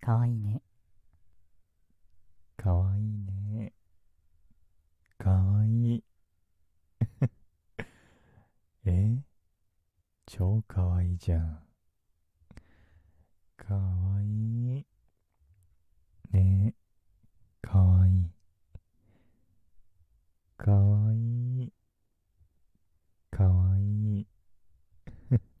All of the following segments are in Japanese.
かわいねかわいねかわいい え超かわいじゃんかわいねかわいいかわいいかわいい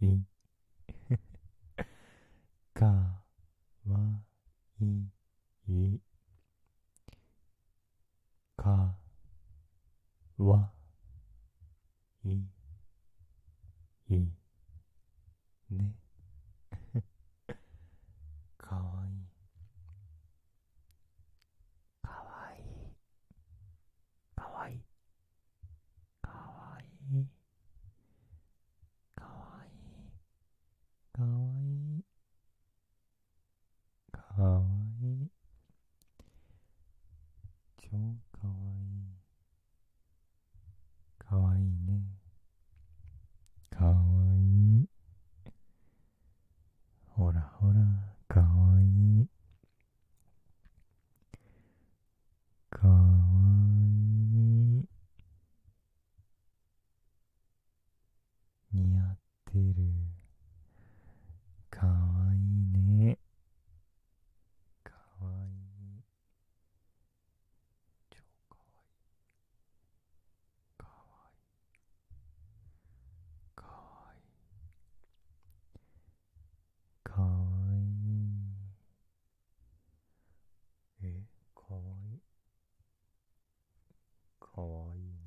いかわいいかわいいねかわいいかわいいかわいいかわいいかわいいかわいいかわいい超かわいいかわいいねかわいいほらほらかわいいかわいい似合ってるかわいいねかわいい超かわいいかわいいかわいいかわいいえかわいいかわいいな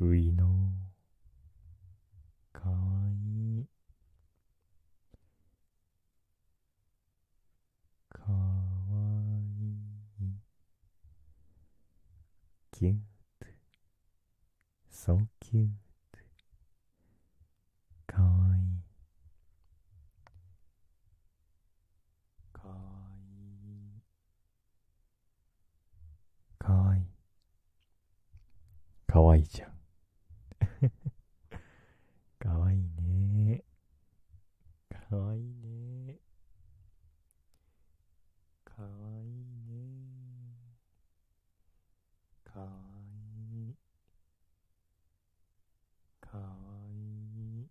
ういのかわいいかわいいギュッ so c u かわいいかわいいかわいいかわいいじゃんかわいいねかわいいねかわいいねかわいいかわいい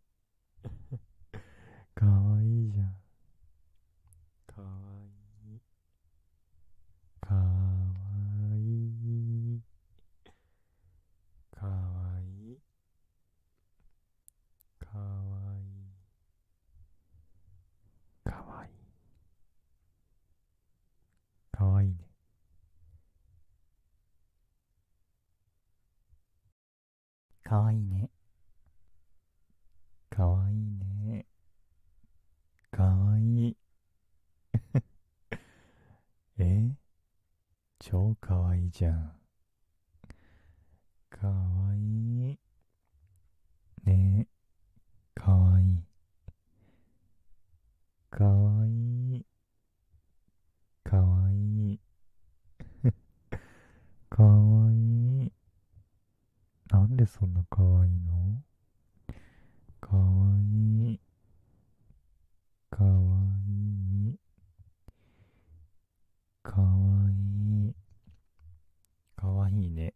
かわいいじゃんかわいいかわいいかわいいかわいいかわいいかわいい。かわいいね。かわいね。かわいね。かわいい。え超かわいじゃん。かわいねえ、かわいい。かわいい。かわいい。かわいい。なんでそんなかわいいのかわいい。かわいい。かわいい。かわいいね。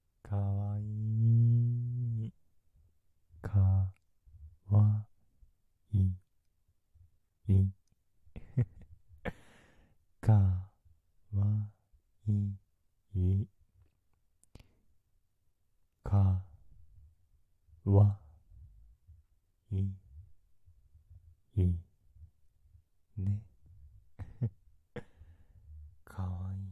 かわいいかわいい かわいいかわいいね かわいい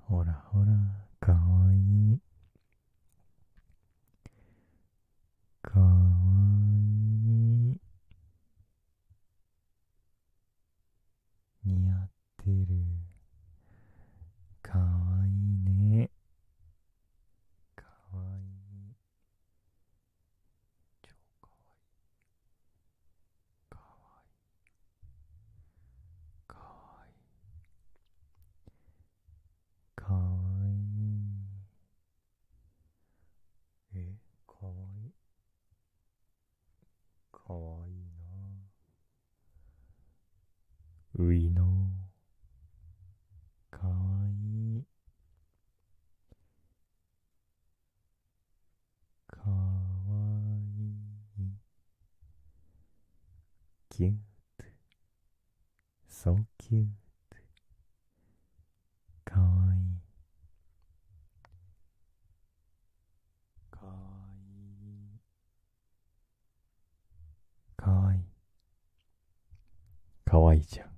ほらほらかわいいかわいい似合ってるかわいいねかわいい超かわいいかわいいかわいいかわいいえかわいいかわいいなういのかわいいかわいいキュート so cute かわいいかわいいかわいいかわいいじゃん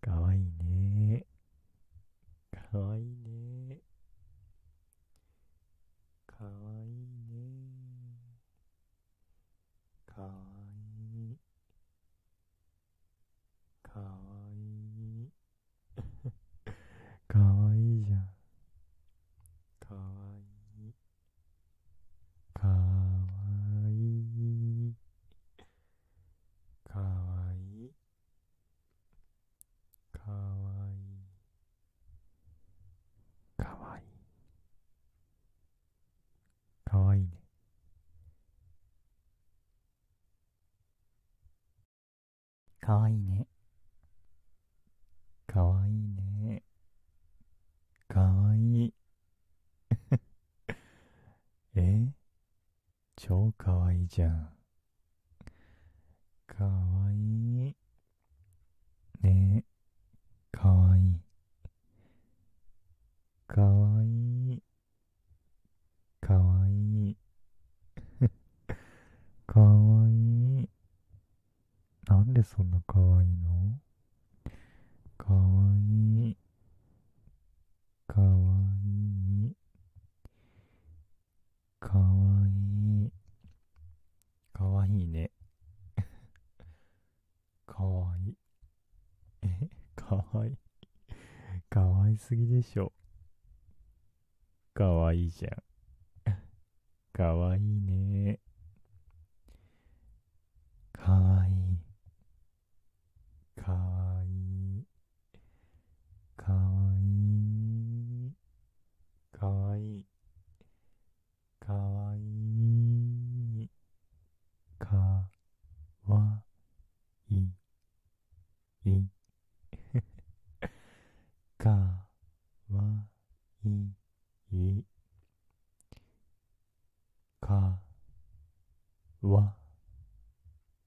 かわいいねかわいいねかわいいねかわいいかわいいかわいいじゃんかわいいかわいいかわいいかわいいかわいいかわいいねかわいいねかわいいねかわいい え超かわいいじゃん。かわいい。ねえ、かわいい。かわいい。かわいい。かわいい。なんでそんなかわいいのかわいい。かわいい。かわいい。かわいいね。かわいい。え、かわいい。かわいすぎでしょ。かわいいじゃん。かわいいね。かわいい。かわいい。かわいいかわいいかわいいかわいいかわいいかわいい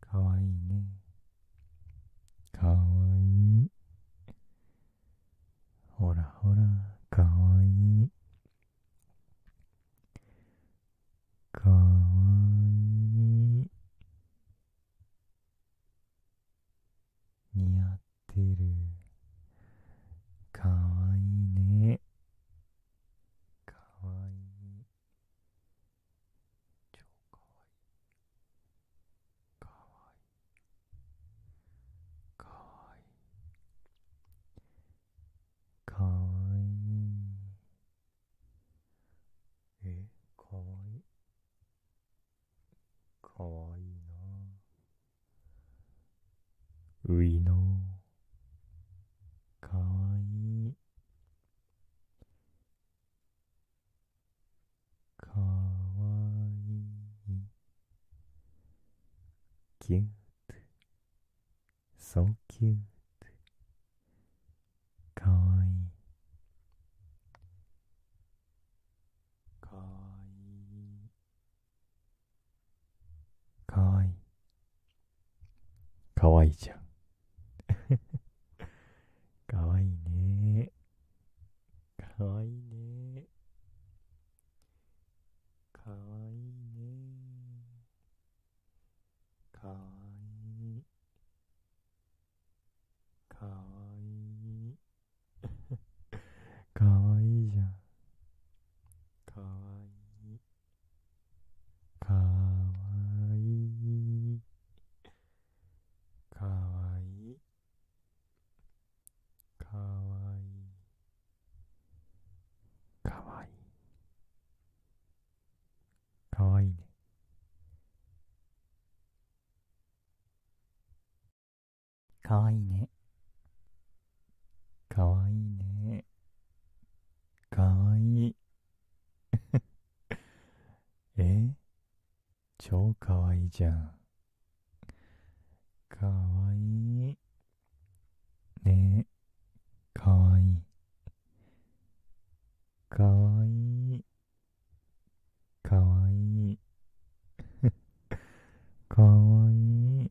かわいいねかわいいほらほらかわいいかわいい似合ってるかわいいねかわいい超かわいいかわいいかわいいかわいいえかわいいかわいいなういのかわいいかわいいキュート so c ー t e かわいいかわいいかわいいかわいいじゃん。かわいいね。かわいね。かわいね。かわいい。かいい。かいいじい。かわいいかわいいかわいいかわいいかわいいねかわいいねかわいいねかわいい え超かわいいじゃん。かわいい。ねえ、かわいい。かわいい。かわいい。かわいい。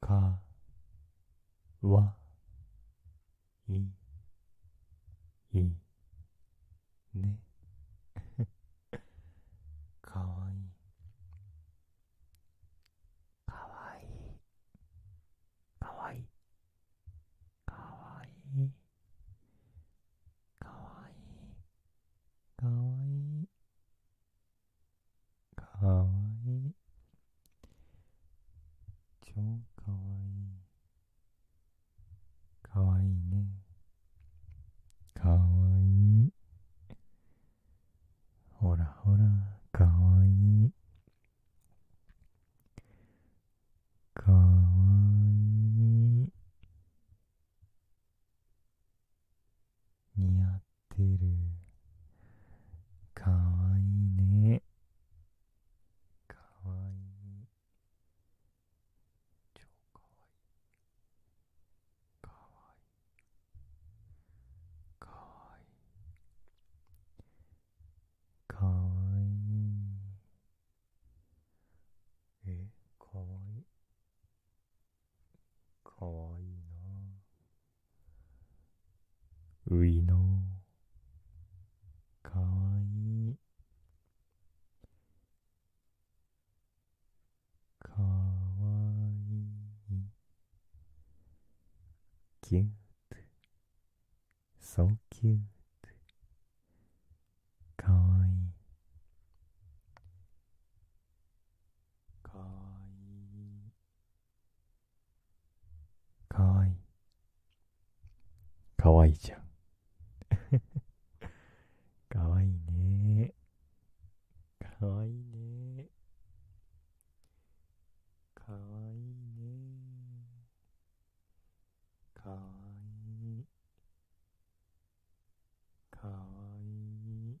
かわいいねかわいいかわいいかわいいかわいいかわいいかわいい。かわいい超かわいいかわいいねかわいいほらほらかわいいかわいい似合ってるかわいねかわい超かわいいかいいかいいかわいいえかわいいかわいいなういのかわいいかわいいキュート so c ー t e かわいいかわいいかわいいかわいいじゃん かわいいねかわいいねかわいいねかわいいかわいい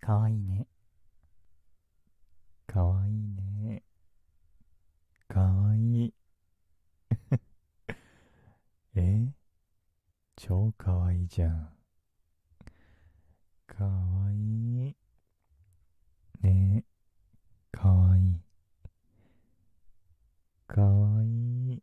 かわいいねかわいいねかわいい え超かわいいじゃんかわいいねかわいいかわいい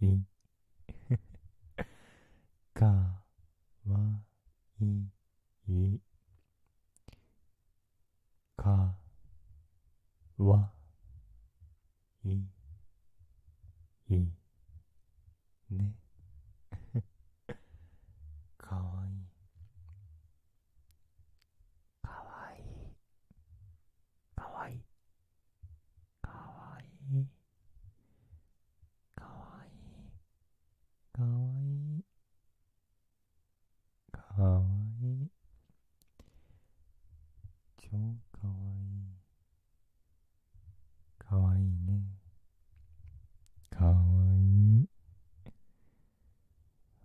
いかわいいかわいいねかわいいかわいいかわいいかわいいかいいかいいかい超かわいいかいねかわい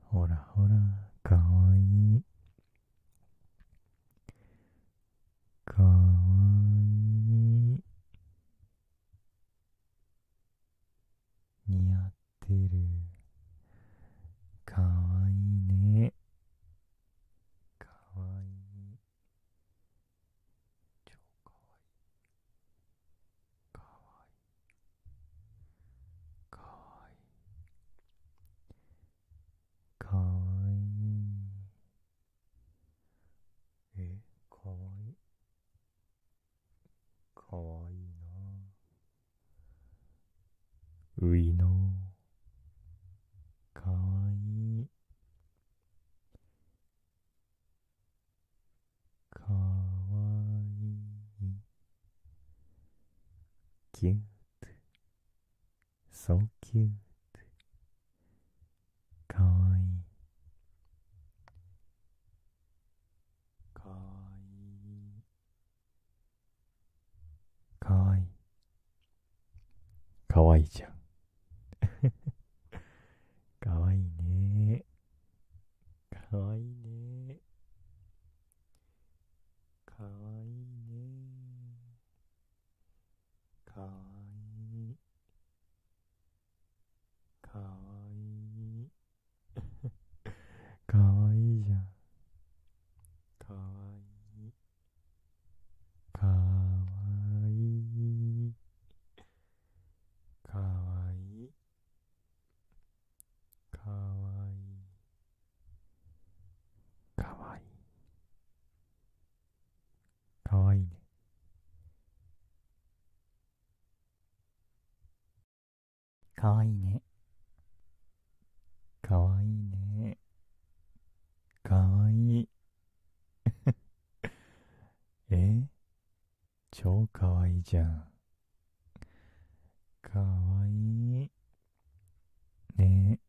ほらほらかわいいかわいい似合ってるかわいいねかわいい超かわいいかわいいかわいいかわいいえかわいいかわいいなういのかわいいかわいいぎゅっ so c u いいかいいかいいかいじゃんかわいねかわいねかわいいねかわいいかわいい かわいいじゃんかわいいかわいいかわいいかわいいかわいいかわいいねかわいいねかわいいねかわいい え超かわいいじゃんかわいいね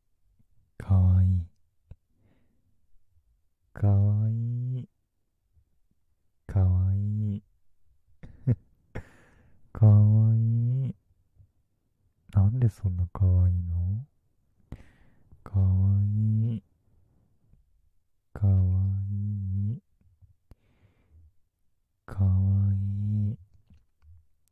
え、かわいい。かわいい。かわいい。かわいい。なんでそんなかわいいのかわいい。かわいい。かわいい。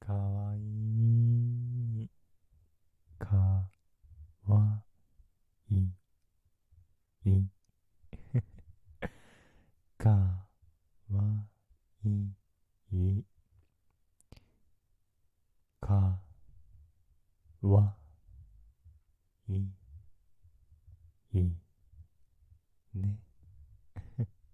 かわいいかわいいかわいいかわいいね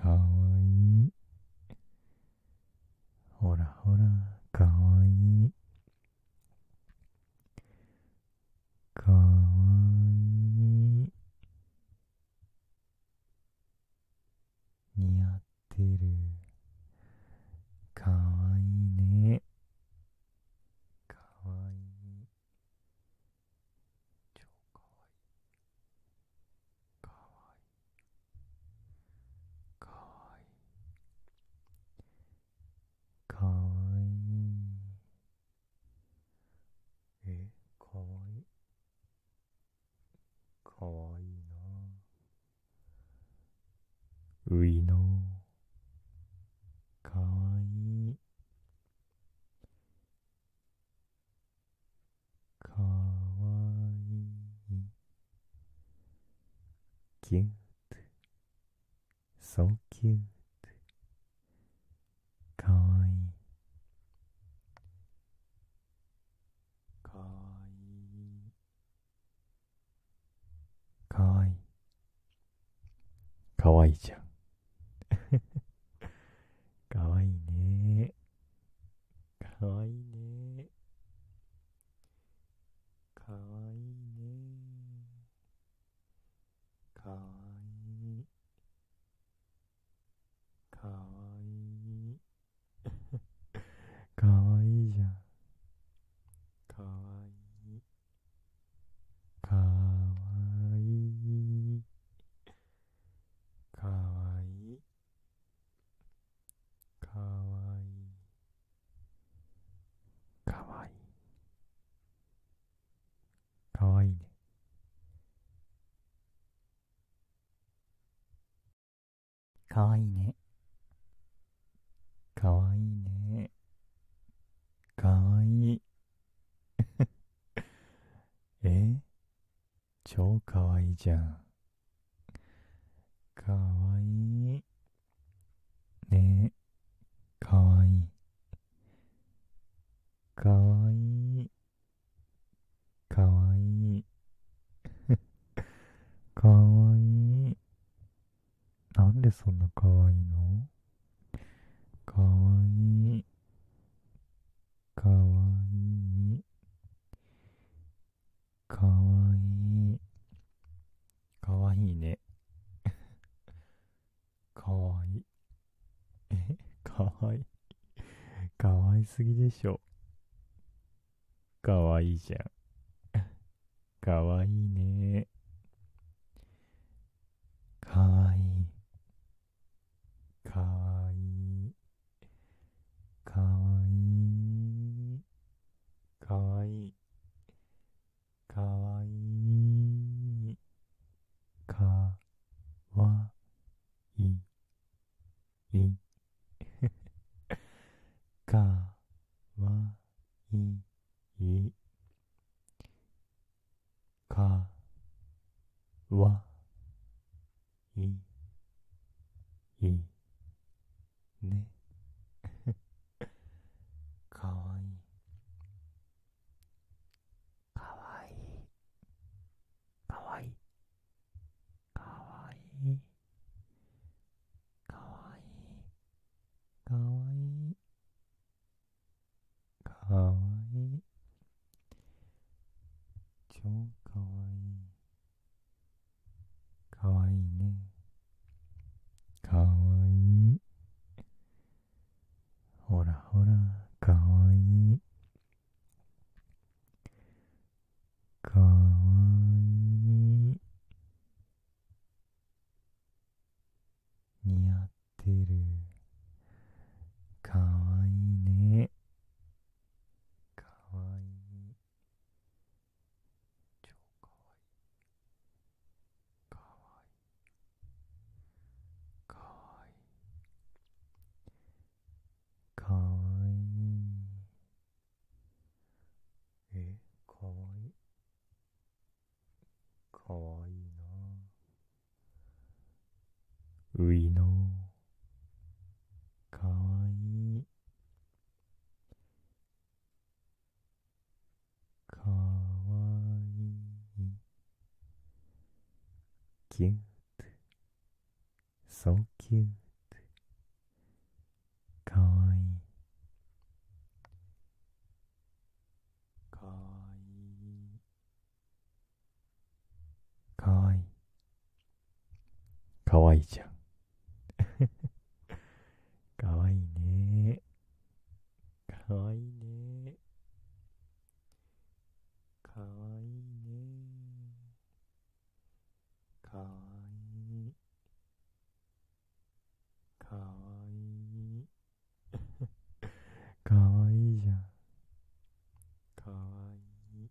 かわいいほらほらかわいいかわいい似合ってるかわいいねかわいい超かわいいかわいいかわいいかわいいえかわいいかわいいなういのかわいいかわいいキュート so cute かわいいかわいいかわいいかわいいじゃんかわいいねかわいいねかわいいねかわいいかわいいかわいいじゃんかわいいかわいいかわいいかわいいかわいいかわいいねかわいいねかわいいねかわいい え超かわいじゃん。かわいねえ、かいい。かいい。かいい。かい なんでそんなかわいのかわいい。かわいいかわいいかわいいね かわいいかわいいかわいすぎでしょかわいいじゃんかわいいねかわいいかわいいかわいいかわいいかわいいかわいいかわいいかわいいいいね かわいいかわいいかわいいかわいいかわいいかわいいかわいい超かわいいかわいいねかわいいほらほらかわいいかわいい似合ってるかわいいねかわいい超かわいいかわいいかわいいかいえかわいいかわいいなういのかわいいかわいいキュート so c ー t e かわいいかわいいかわいいかわいいじゃん かわいいねかわいいねかわいいねかわいいかわいい かわいいじゃんかわいい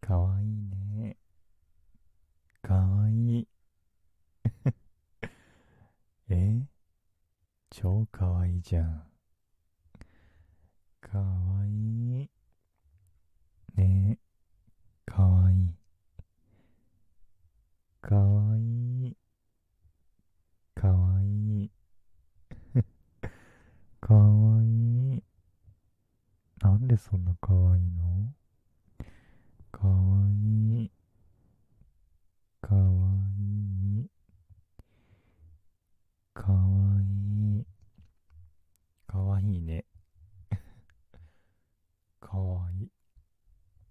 かわいいね。かわいい。えち超かわいいじゃん。かわいい。ねえ、かわいい。かわいい。かわいい。かわいい。なんでそんな可愛いの可愛い。可愛い。可愛い。可愛いね。可愛い。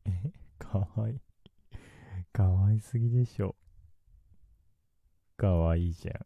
え、可愛い。可愛すぎでしょ。可愛いじゃん。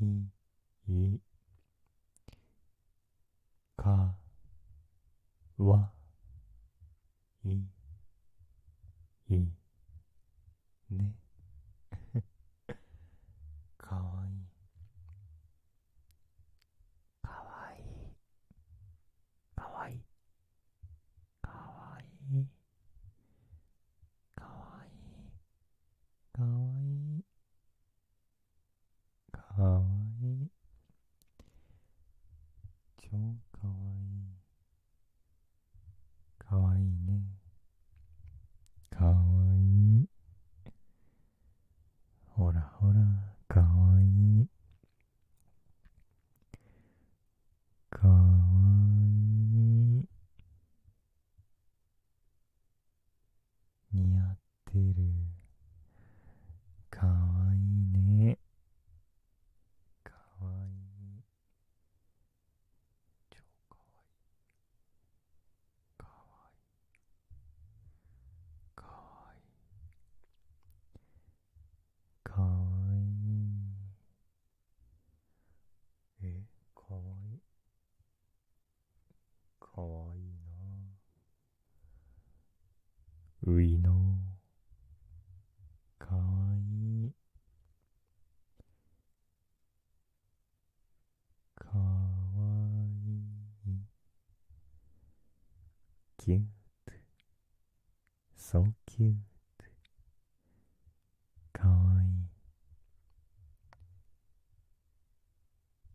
いい。か、わ、い。い。ね。かわいいね かわいいかわいいかわいいかわいいかわいいかわいいかわいい超かわいいかわいいねかわいいほらほらかわいいかわいい似合ってるかわいいねかわいい超かわいいかわいいかわいいかわいいえかわいいかわいいなういのかわいいかわいいキュート so c ー t e かわいい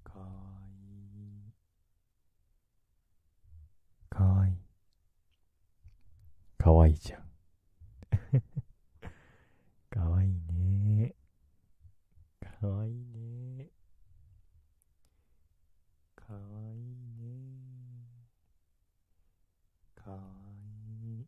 かわいいかわいいかわいいじゃん かわいいねかわいいねかわいいねかわいい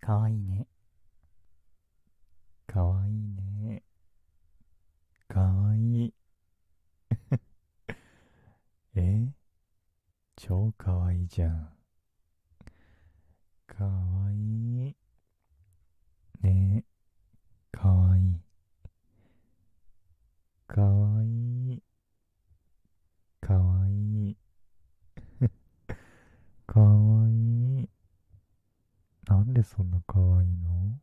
かわいいねかわいいねかわいい え超かわいいじゃんかわいいねかわいいかわいいかわいい。かわいい。なんでそんなかわいいの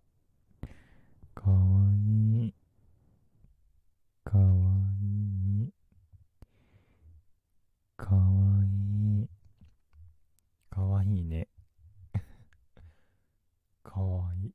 かわいい。かわいい。かわいい。かわいいね。かわいい。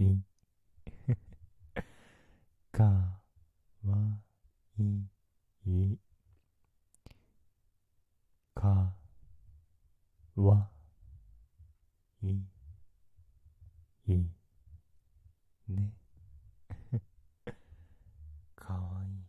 い、いか、わ、い、い、か、わ、い、い、ね。かわいい。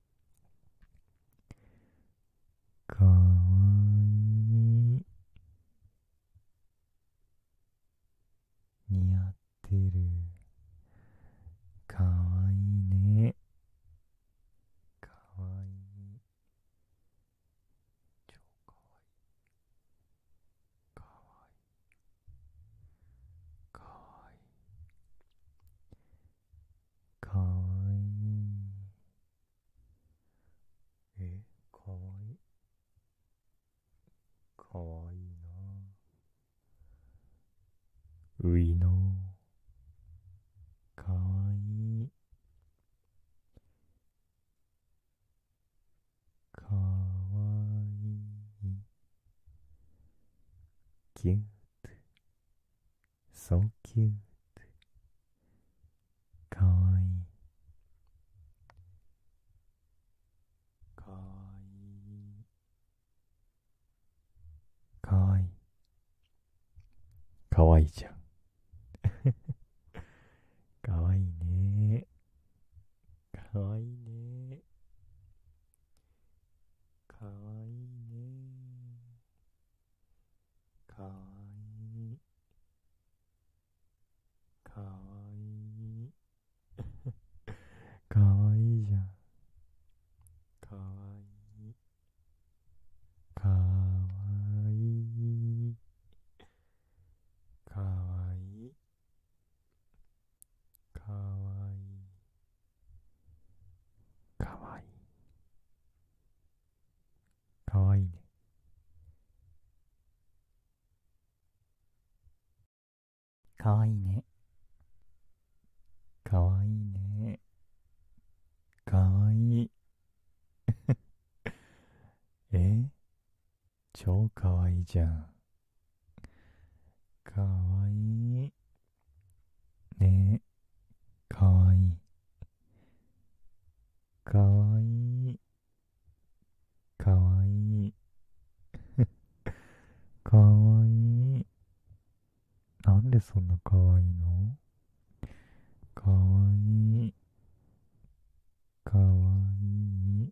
かわいい似合ってるかわいいねかわいいかわいいかわいいかわいかわいいえかわいいかわいいなういのかわいいかわいいキゅ。ン so c かわいいかわいいかわいいかわいいじゃんかわいいねかわいいねかわいいねかわいいかわいい かわいいじゃんかわいいかわいいかわいいかわいいかわいいかわいいねかわいいねかわいいねかわいい え超かわいいじゃんかわいいねえ、かわいい。かわいい。かわいい。かわいい。なんでそんなかわいいのかわいい。かわいい。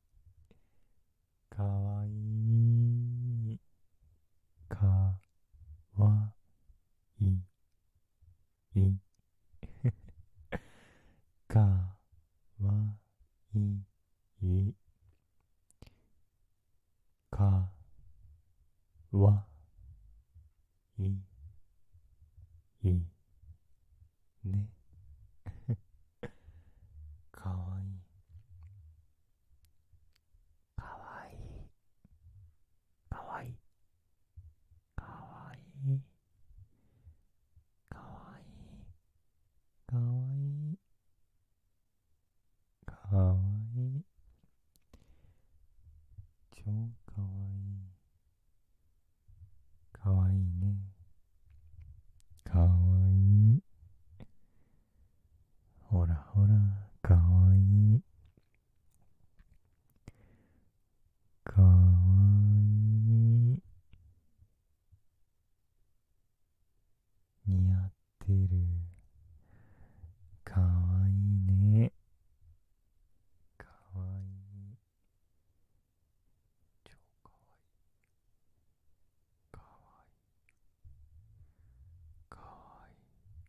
かわいいかわ いいかわいいかわいいね かわいいかわいいかわいいかわいいかわいいかわいいかわいい超かわいいかわいいねかわいいほらほらかわいいかわいい似合ってるかわいいねかわいい超かわいいかわいい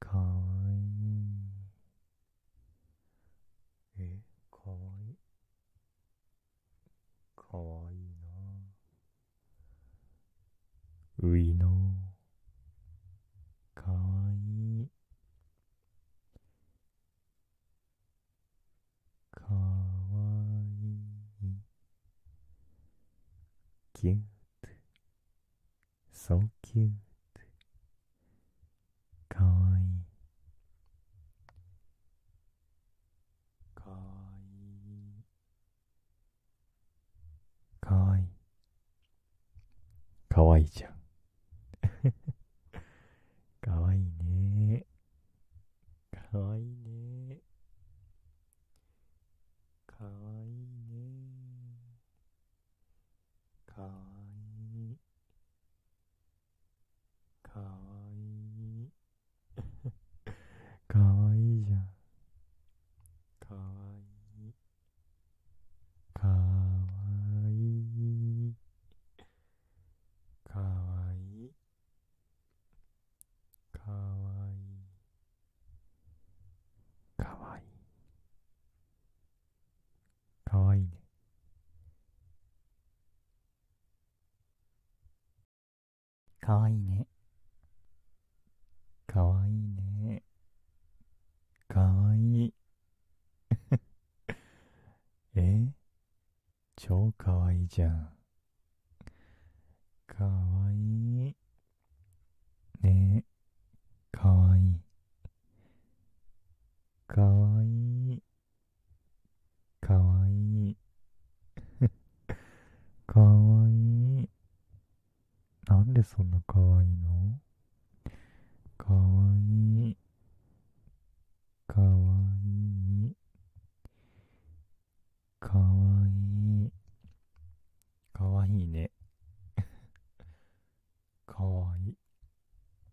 かわいいかわいいえかわいいかわいいなういのかわいいかわいいキュート so c ー t て。かわいいかわいいかわいいかわいいじゃん かわいいね。かわいいね。かわいいね。かわいい。かわいい。かわいいじゃん。かわいい。かわいい。かわいいかわいいかわいいかわいいねかわいいねかわいいねかわいいえ超かわいじゃん。かわいねえ、かわいい。かいい。かいい。かいなんでそんなかわいのかわいい。かわいいかわいいかわいいね かわいい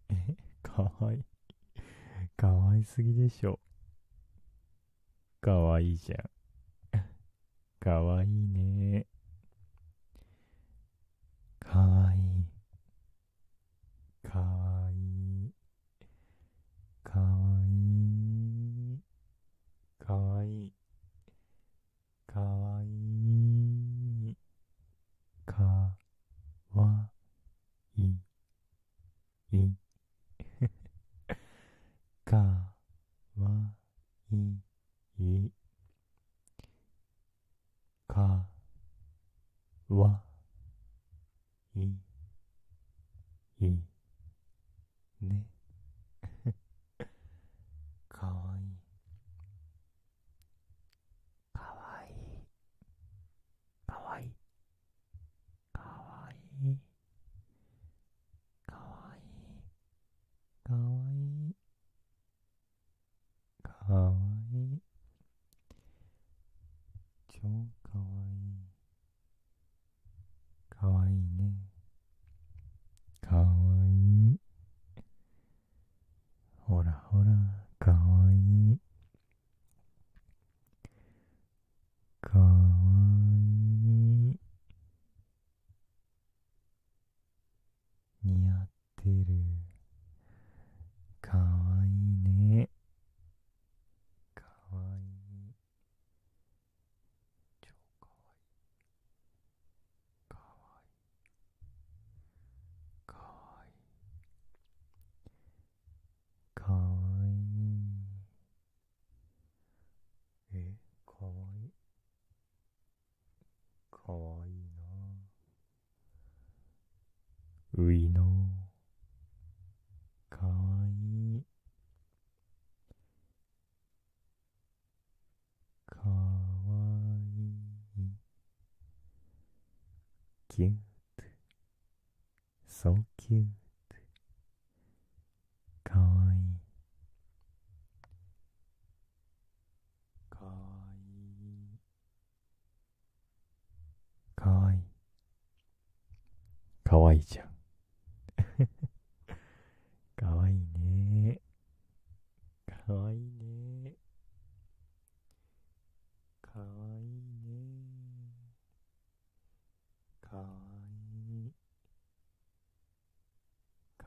かわいいかわいすぎでしょかわいいじゃん かわいいねかわいいかわいいかわいいかわいいかわいいかわいいいかわいいかわいいね かわいいかいいかわいいかわいいかわいいかわいいかわいい超かわいいかわいいねかわいいほらほらかわいいかわいい似合ってっるかわいいねかわい超かわいいかいいかいいかいえかわいいかいなういのかわいいかわいいキュート so cute かわいいかわいいかわいい。かわいいじゃん。かわいいね。かわいいね。かわいいね。かわいい。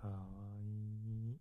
かわいい。